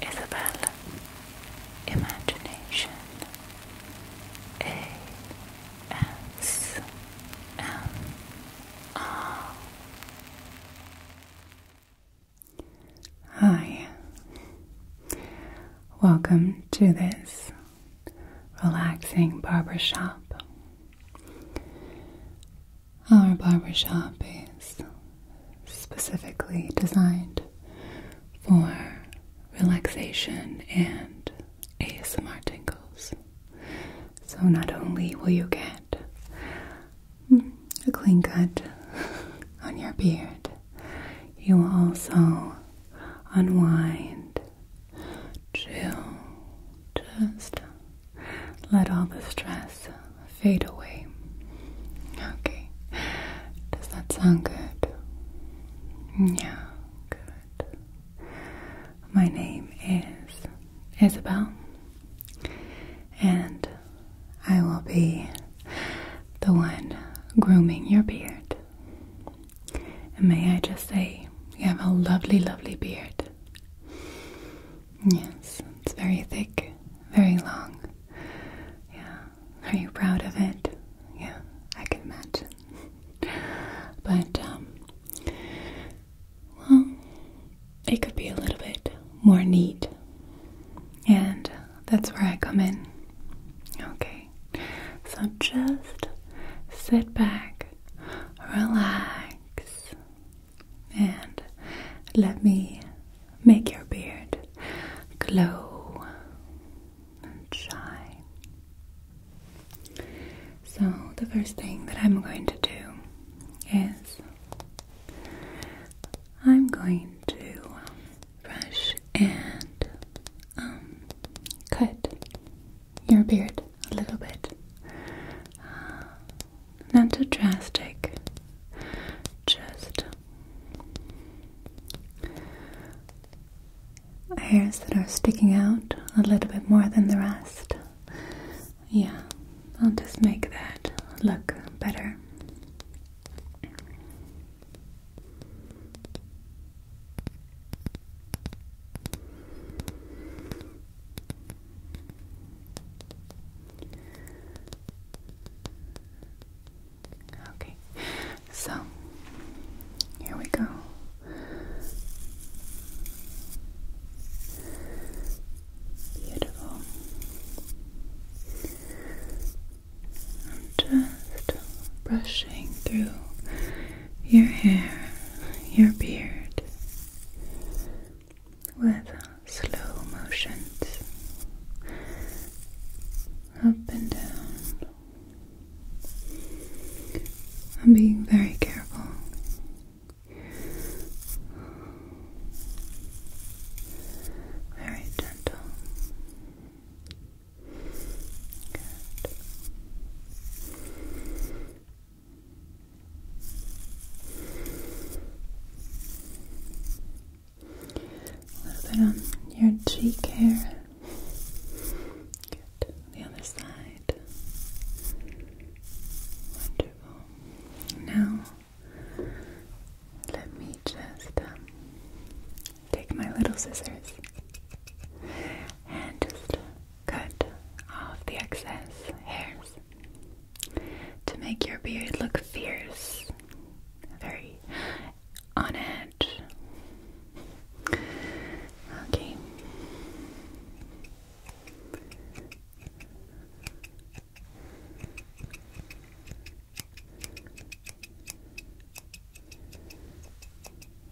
Isabel Imagination A S M R Hi, welcome to this relaxing barbershop. Our barbershop is specifically designed for relaxation and ASMR tingles. So not only will you get mm, a clean cut on your beard, you will also unwind, chill, just let all the stress fade away. Okay. Does that sound good? Yeah, good. My name is Isabel, and I will be the one grooming your beard. And may I just say, you have a lovely, lovely beard. Yes, it's very thick, very long. Yeah. Are you proud of it? Yeah, I can imagine. but, um, well, it could be a little bit more neat. And that's where I come in. Okay. So just sit back, relax, and let me make your beard glow and shine. So, the first thing that I'm going to do is I'm going to brush and um, cut your beard a little bit. Not too drastic. Just hairs that are sticking out a little bit more than the rest. Yeah, I'll just make that look better. Okay, so here we go. Beautiful. I'm just brushing through your hair, your beard with slow motions up and down. I'm being very careful. Very gentle. Good. A little bit on your cheek here. Good. The other side. Wonderful. Now, let me just um, take my little scissors and just cut off the excess hairs to make your beard look fierce, very on edge. Okay.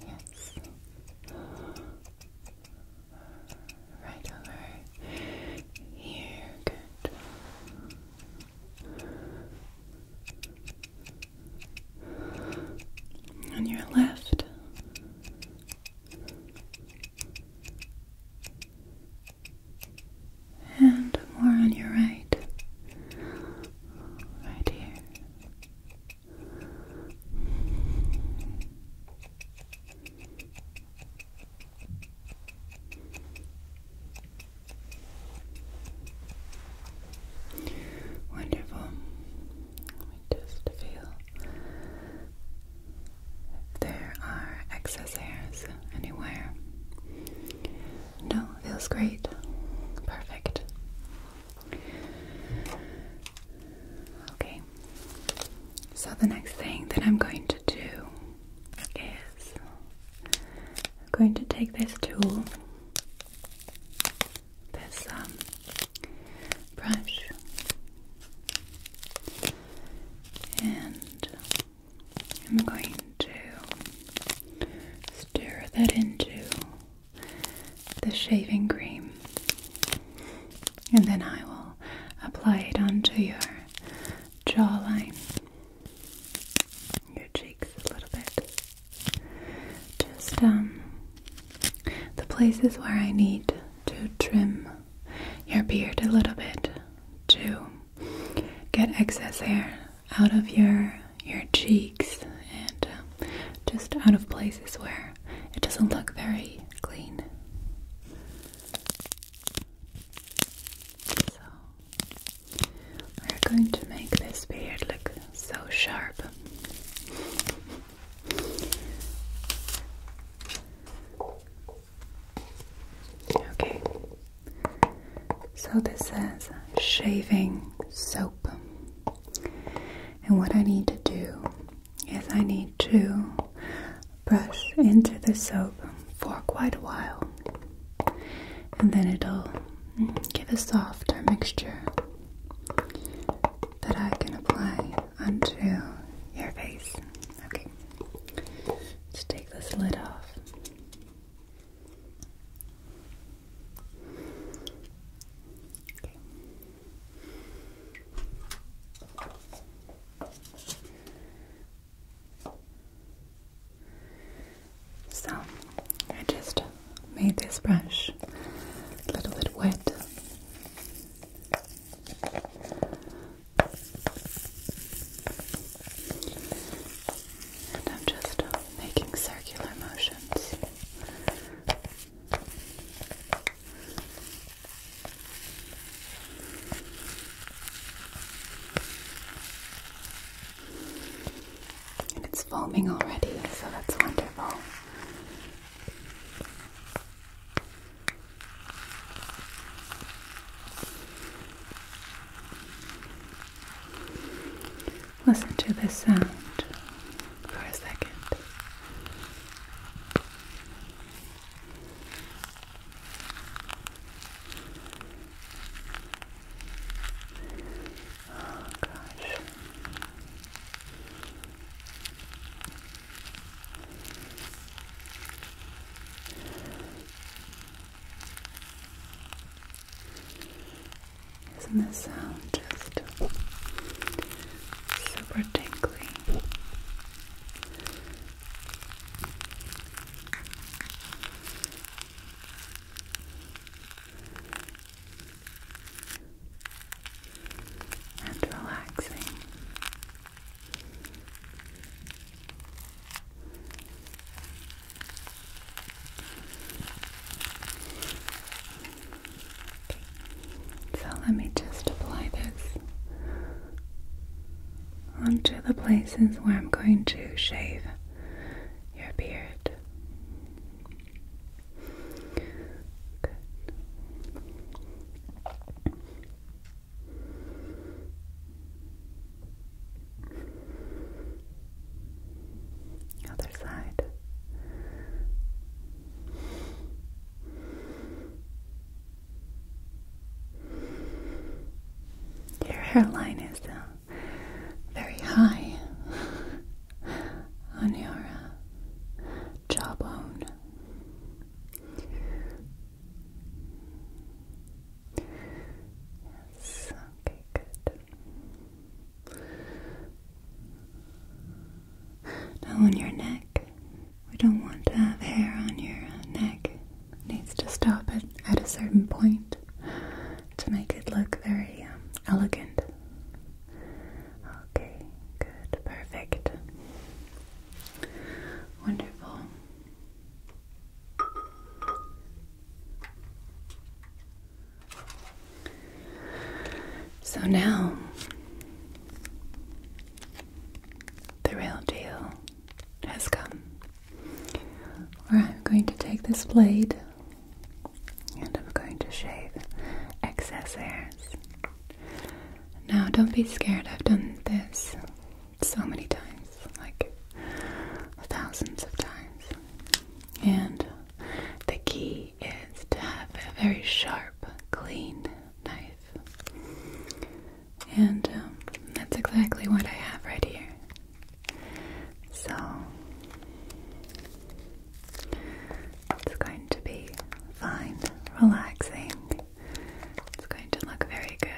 Yes right over here. Good. On your left. And more on your right. Right here. Wonderful. Let me just feel there are excess hairs anywhere. No, feels great. Perfect. Okay, so the next thing that I'm going to do is I'm going to take this tool, this um, brush, and I'm going to stir that into the shaving cream and then I will apply it onto your jawline, your cheeks a little bit. Just um, the places where I need to trim your beard a little bit to get excess hair out of your your cheeks and uh, just out of places where it doesn't look very clean. So we're going to make this beard look so sharp. Okay, so this says shaving soap, and what I need to do is I need to brush into the soap for quite a while and then it'll give a softer mixture that I can apply onto your face. Okay, let's take this lid off. So I just made this brush a little bit wet. And I'm just making circular motions it's foaming already, so that's wonderful. Listen to this sound for a second. Oh gosh. Isn't the sound just super tingly. And relaxing. So let me just apply this onto the places where I'm going to shave your beard. Good. Other side. Your hairline is uh, very high on your uh, jawbone. Yes, okay, good on your neck. We don't want to have hair on your neck. needs to stop it at a certain point to make it look very um, elegant. Okay, good, perfect. Wonderful. So now, the real deal has come. Where I'm going to take this blade and I'm going to shave excess hairs. Now, don't be scared, I've done this so many times like thousands of times. And the key key is to have a very sharp, clean knife. And um, that's exactly what I have right here. So, it's going to be fine, relaxing. It's going to look very good.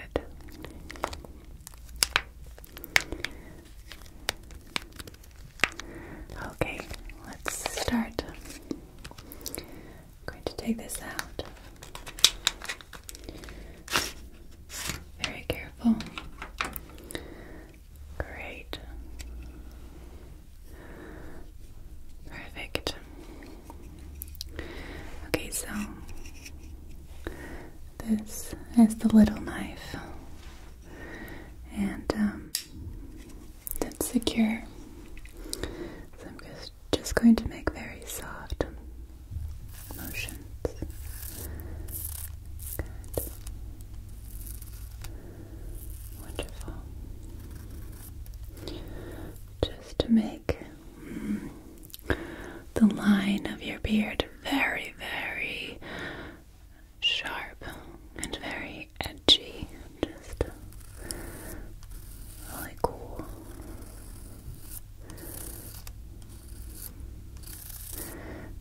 Okay, let's start. going to take this out. Very careful. Great. Perfect. Okay, so this is the little knife, and um, that's secure. So I'm just, just going to make very soft motions. Good. Wonderful. Just to make mm, the line of your beard very, very sharp and very edgy, just really cool.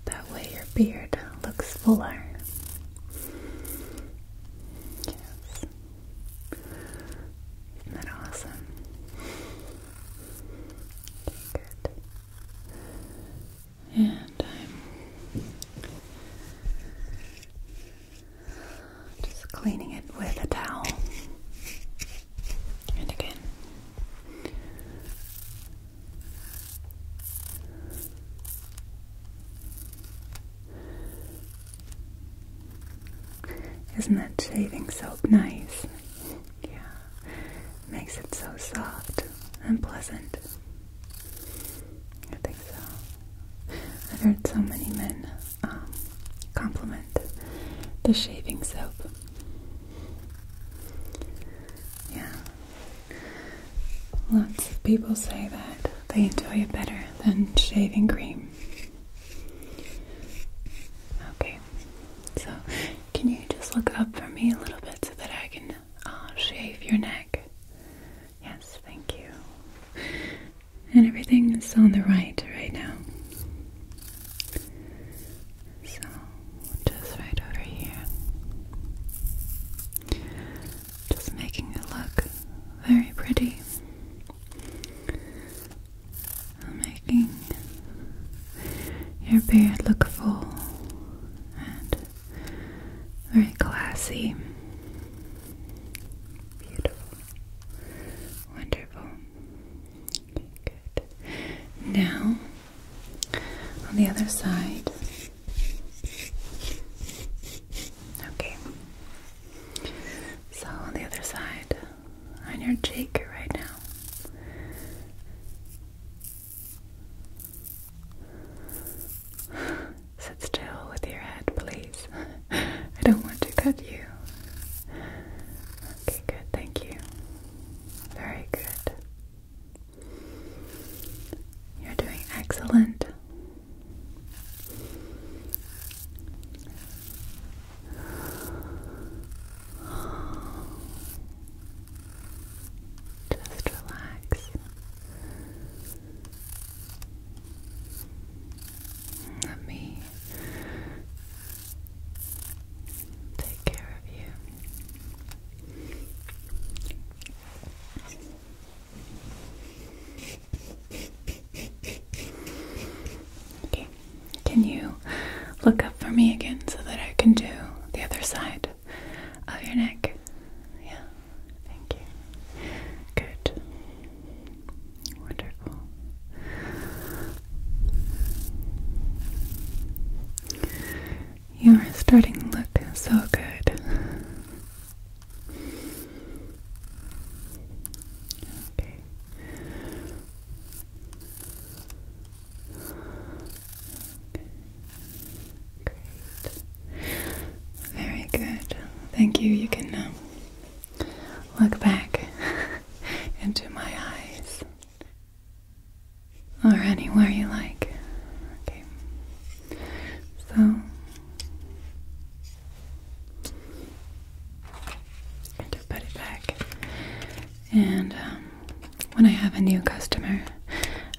That way your beard looks fuller. Yes. Isn't that awesome? good and I'm just cleaning it with a towel. And again. Isn't that shaving soap nice? Yeah. Makes it so soft and pleasant. I think so. I've heard so many men um, compliment the shaving soap. Yeah. Lots of people say that they enjoy it better than shaving cream. Okay, so can you just look up for me a little bit so that I can uh, shave your neck? Yes, thank you. And everything is on the right right now. So, just right over here. Just making it look very pretty. Making your beard look full and very classy. Beautiful. Wonderful. Good. Now, on the other side. Okay. So, on the other side, on your cheek right now, Sit still with your head, please. I don't want to cut you. Okay, good, thank you. Very good. You're doing excellent. Just relax. Let me take care of you. Okay. Can you look up for me again so that I can do the other side? of your neck. Yeah, thank you. Good. Wonderful. You are starting to look so good. Okay. Very good. Thank you. You can um, look back into my eyes or anywhere you like. Okay. So put it back. And um, when I have a new customer,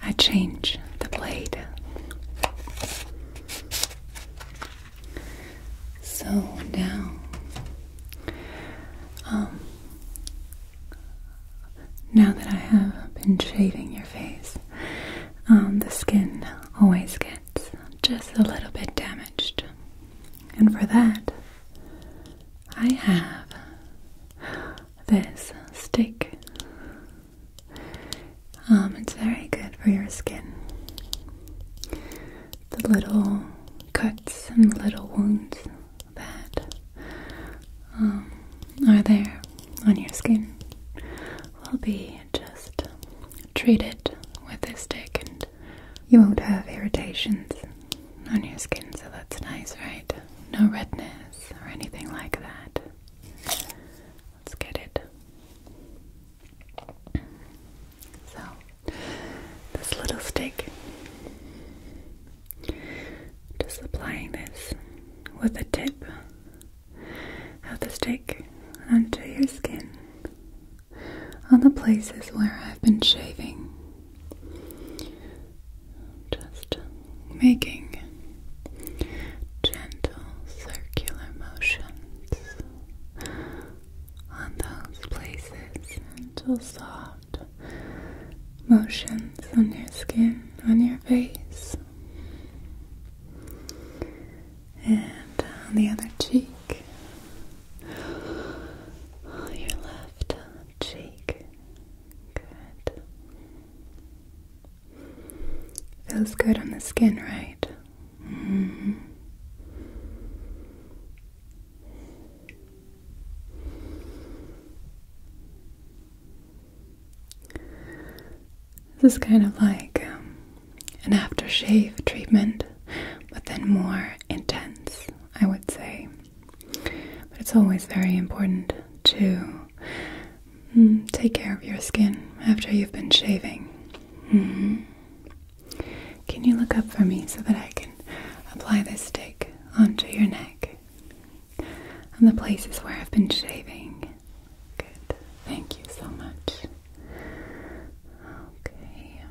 I change the blade. So now, um, now that I have been shaving your face, um, the skin always gets just a little bit damaged, and for that, I have this stick. Um, it's very good for your skin. The little cuts and little wounds that um, are there on your skin will be just treated with this stick, and you won't have irritations on your skin, so that's nice, right? No redness or anything like that. Let's get it. So, this little stick, just applying this with the tip of the stick onto your skin on the places where I've been shaving just making gentle circular motions on those places, gentle soft motions on your skin, on your face, and on the other cheek, your left cheek. Good. Feels good on the skin, right? Mm-hmm. This is kind of like um, an aftershave treatment, but then more intense, I would say. But it's always very important to mm, take care of your skin after you've been shaving. Mm-hmm. Can you look up for me so that I can apply this stick onto your neck and the places where I've been shaving? Good. Thank you so much. Okay.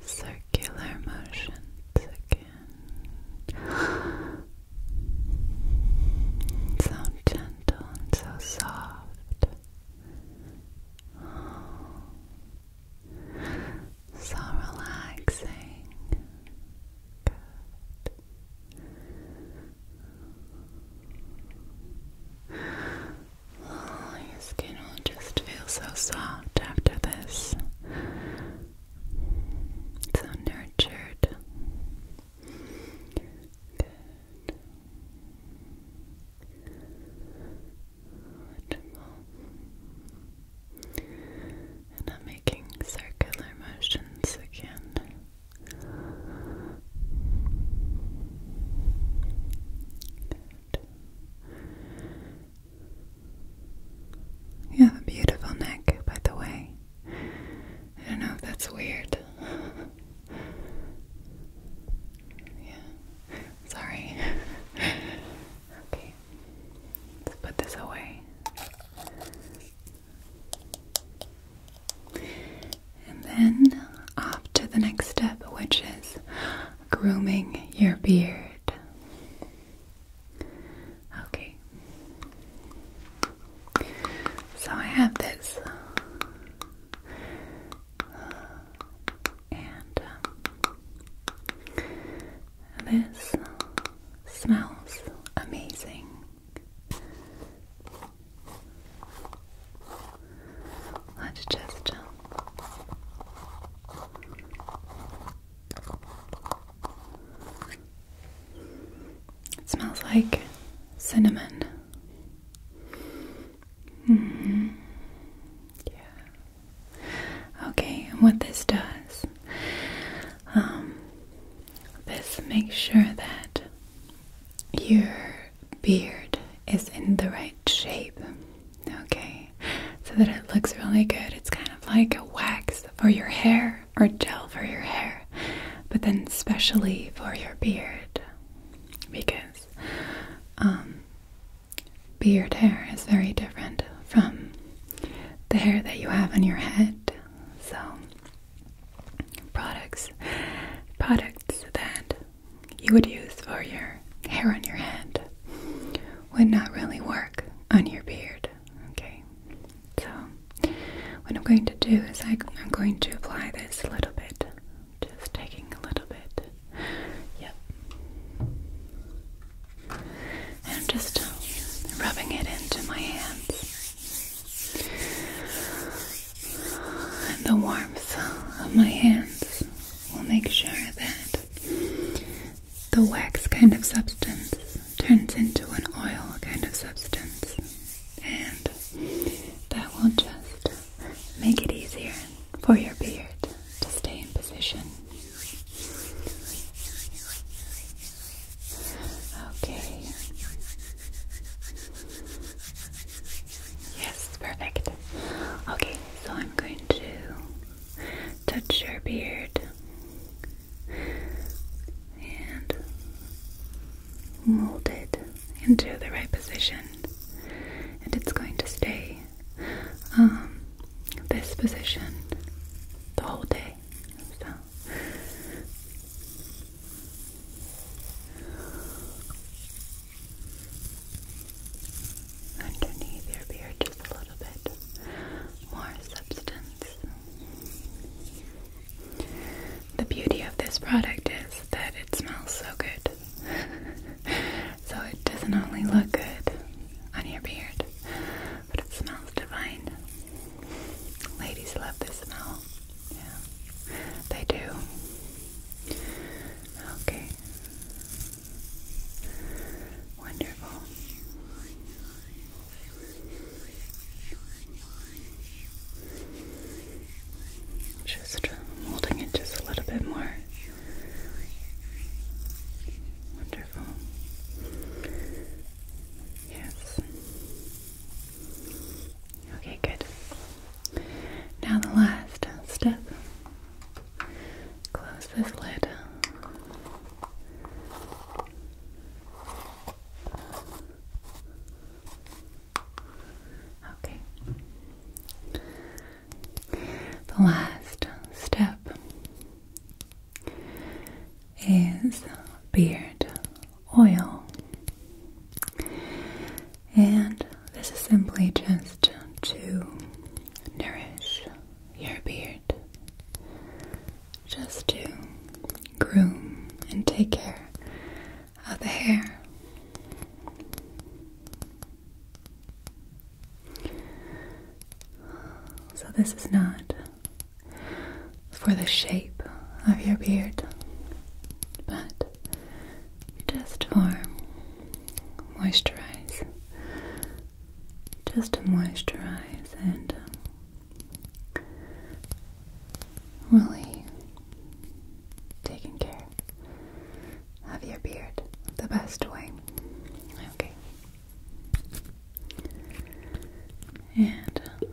Circular motions so gentle and so soft. So relaxing. Oh, your skin will just feel so soft after this. So nurtured. And I'm making circular motions again. You have a beautiful neck, by the way. I don't know if that's weird. yeah, sorry. okay, let's put this away. And then off to the next step, which is grooming your beard. Okay. So I have this. Uh, and um, this smells amazing. Let's just um, it smells like cinnamon. Mm-hmm. Yeah. Okay, what this does, um, this makes sure that your beard is in the right shape. Okay, so that it looks really good. It's kind of like a wax for your hair or gel for your hair, but then especially for your beard because um, beard hair is very different from the hair that you have on your head. So, products, products that you would use for your hair on your head would not really work on your beard. Okay, so what I'm going to do is I, I'm going to apply this a little bit, just taking a little bit. Yep. And I'm just rubbing it into my hands. And the warmth of my hands will make sure that the wax kind of substance turns into an oil kind of substance, and that will just make it easier for your beard to stay in position. Okay. Yes, perfect. Okay, so I'm going to touch your beard and mold it into the right position, and it's going to stay um, this position the whole day. So underneath your beard just a little bit more substance. The beauty of this product is that it smells so good. so it doesn't only look good on your beard, but it smells divine. Ladies love this smell. Yeah, they do. Okay. Wonderful. Just holding it just a little bit more. Wonderful. Yes. Okay, good. Now the last step Close this lid. Okay. The last step is beard oil. And this is simply just to nourish your beard just to groom and take care of the hair. So, this is not for the shape of your beard, but just for moisturize just to moisturize and um, really taking care of your beard the best way. Okay. And um,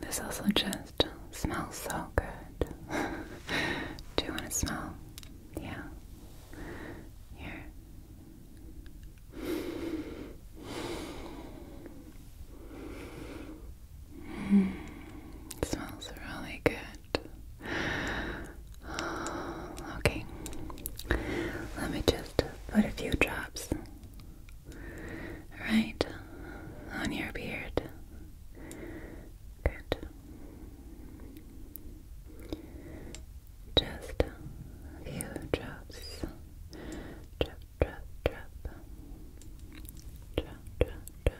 This also just smells so good. Do you want to smell? Yeah. Here. it mm, smells really good. Okay, let me just put a few drops right on your beard. Good. Just a few drops. Drop, drop, drop. Drop, drop, drop.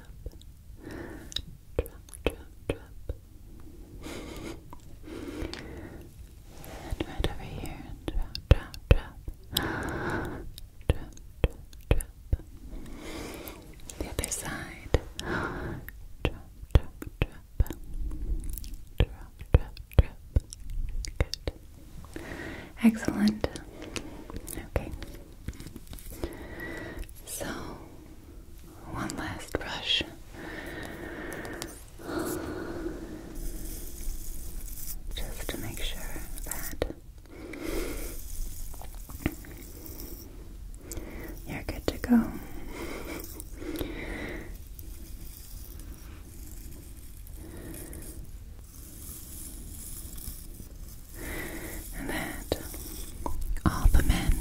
Drop, right over here, drop, drop, drop. Drop, drop, drop. The other side. Drop, drop, drop. Drop, drop, drop. Good. Excellent. Okay. So one last brush. Just to make sure that you're good to go. And that all the men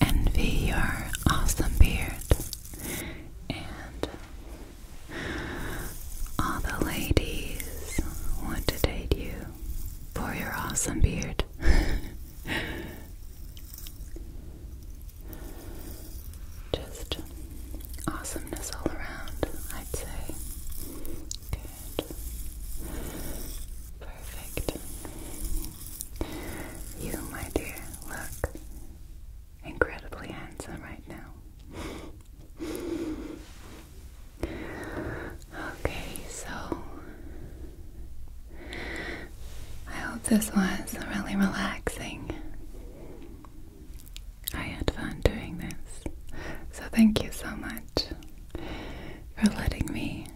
envy your awesome beard, and all the ladies want to date you for your awesome beard. Just awesomeness all around, I'd say. Perfect. You, my dear, look incredibly handsome right now. okay, so I hope this was really relaxing. I had fun doing this, so thank you so much for letting me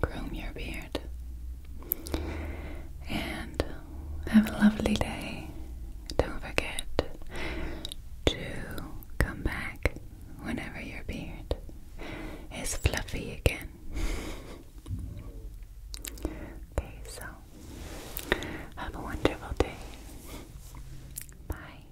groom your beard. And have a lovely day. Don't forget to come back whenever your beard is fluffy again. okay, so have a wonderful day. Bye.